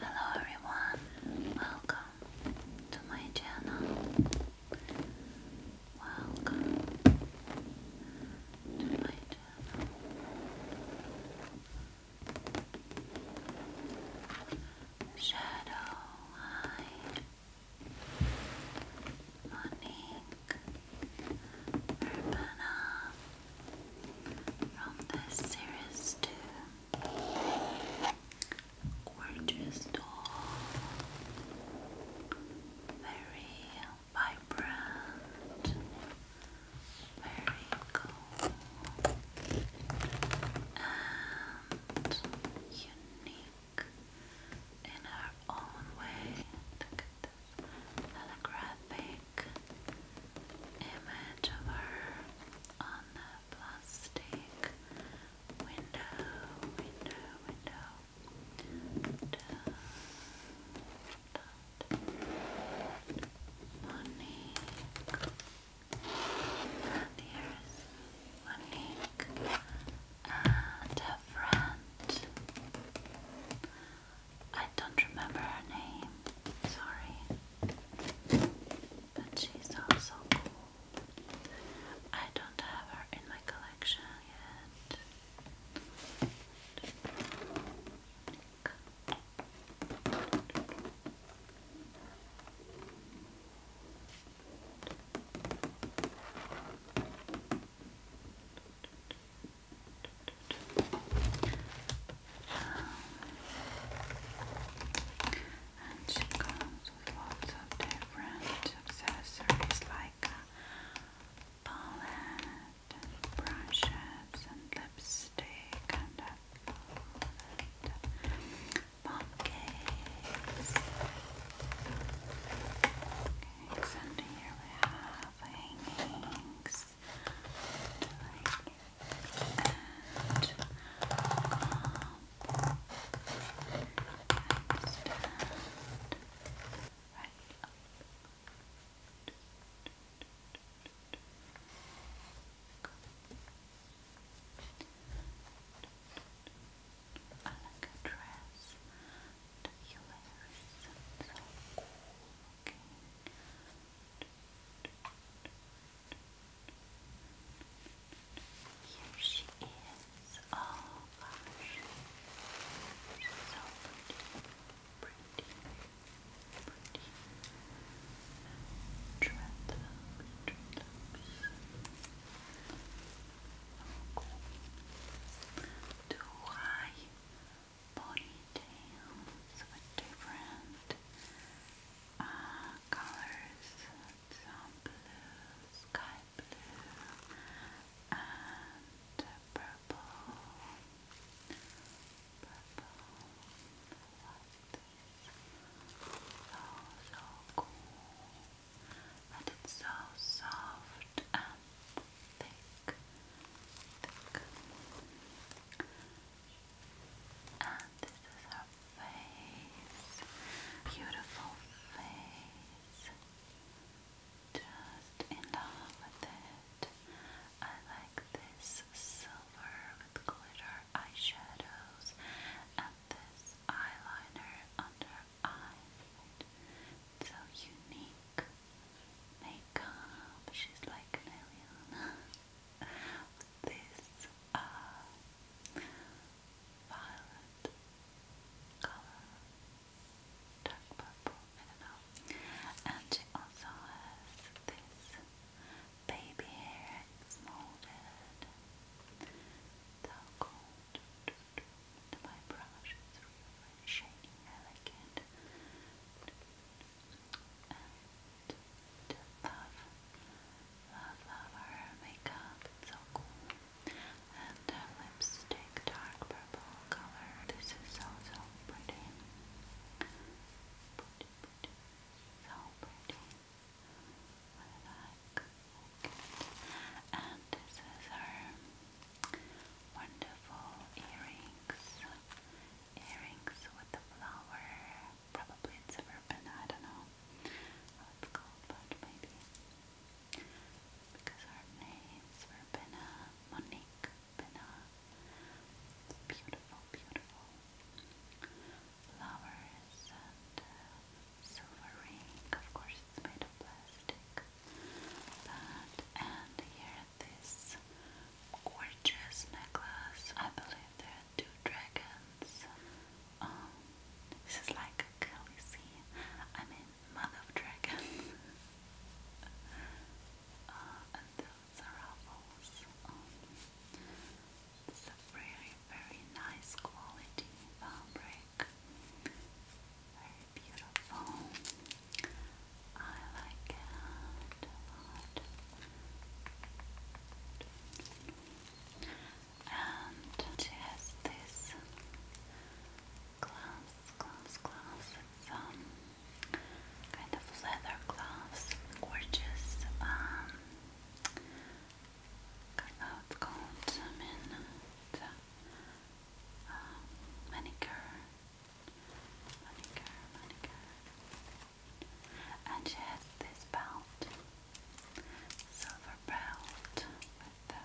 Hello everyone, welcome to my channel. Welcome to my channel. Shadow, hi. Urbana from this series too. Gorgeous doll, very vibrant, very cool, and unique in her own way. Look at holographic image of her on the plastic window, window, window. Dun, dun, here's Monique and her friend. I don't remember her name, sorry. But she's also cool. I don't have her in my collection yet. And she comes with lots of different accessories like a uh, palette brushes and lipstick and a uh, palette, pumpkins and here we have hangings and right up like dress and hilarious and so cool looking here she is, oh gosh so pretty pretty, pretty go to ponytails with different uh, colors, some blue, sky blue, and purple, purple, so cool and it's so soft and thick, And this is her face, beautiful face. Just in love with it. I like this silver with glitter eyeshadows and this eyeliner under eyes, right? So unique makeup. She's like an alien. this uh, violet color, dark purple, I don't know. And she also has this baby hair. It's So cool my brush is shiny elegant and love, love, love her makeup, so cool and her lipstick, dark purple color, this is so, so pretty, so pretty with that And this is her wonderful earrings. Earrings with the flower. Probably it's a I don't know how it's called, but maybe because our names were Monique, Benna. Beautiful, beautiful flowers and uh, silver ring. Of course, it's made of plastic. and here this gorgeous necklace. I believe there are two dragons. Um, this is like a we see? I mean, mother of dragons. Uh, and those are ruffles. It's a very, very nice quality fabric. Very beautiful. I like it a lot. And it has this gloves, gloves, gloves. It's um, kind of leather gloves, gorgeous. Um, now it's called minute um, uh, manicure, manicure, manicure, and she has this belt, silver belt with the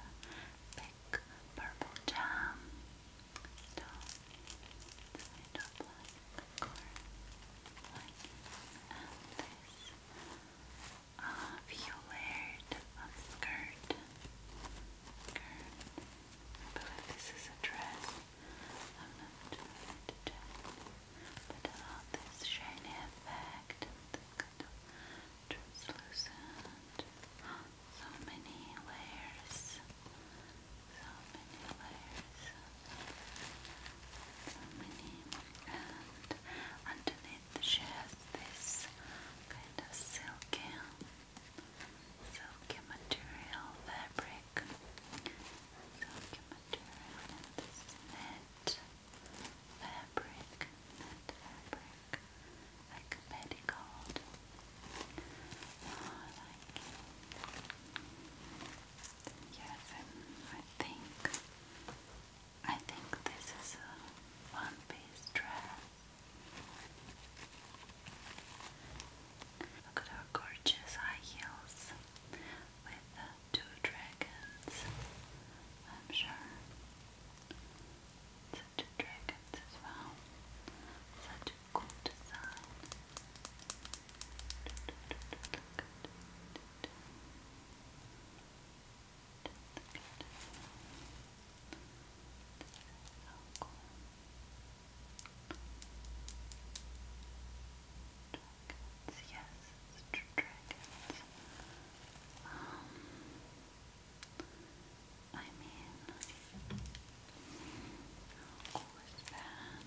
big purple jam. So it's made of black and this a few layered of skirt. I believe this is a dress. I'm not sure But all uh, this shiny effect this kind of translucent. So many layers. So many layers. Aluminium. And underneath the shares this kind of silky, silky material fabric. Silky material and this net fabric, net fabric, like a petticoat. Yes, i think I think this is a one-piece dress. Look at her gorgeous high heels with the two dragons. I'm sure the two dragons as well. Such a cool design. Dragons, yes, dragons. Um, I mean, how cool is that?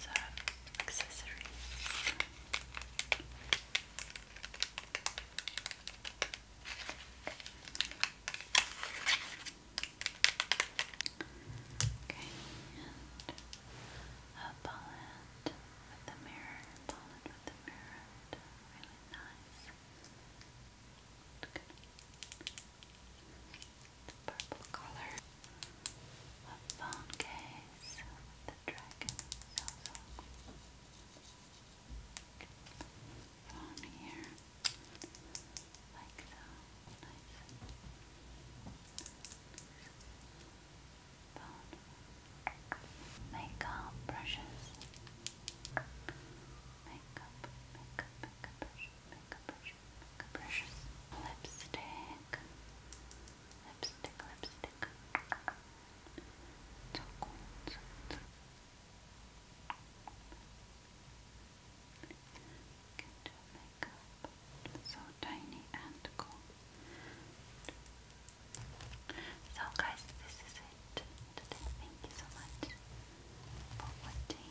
So, accessories. Okay, a palette with the mirror, palette with the mirror, really nice. Good purple color. phone case the dragon Phone here. Like so. Nice. Phone. Makeup brushes. Makeup, makeup, makeup brush, makeup brush, brushes, lipstick, lipstick, lipstick. So cool. So, so. Get makeup so tiny and cool. So guys, this is it Thank you so much for watching.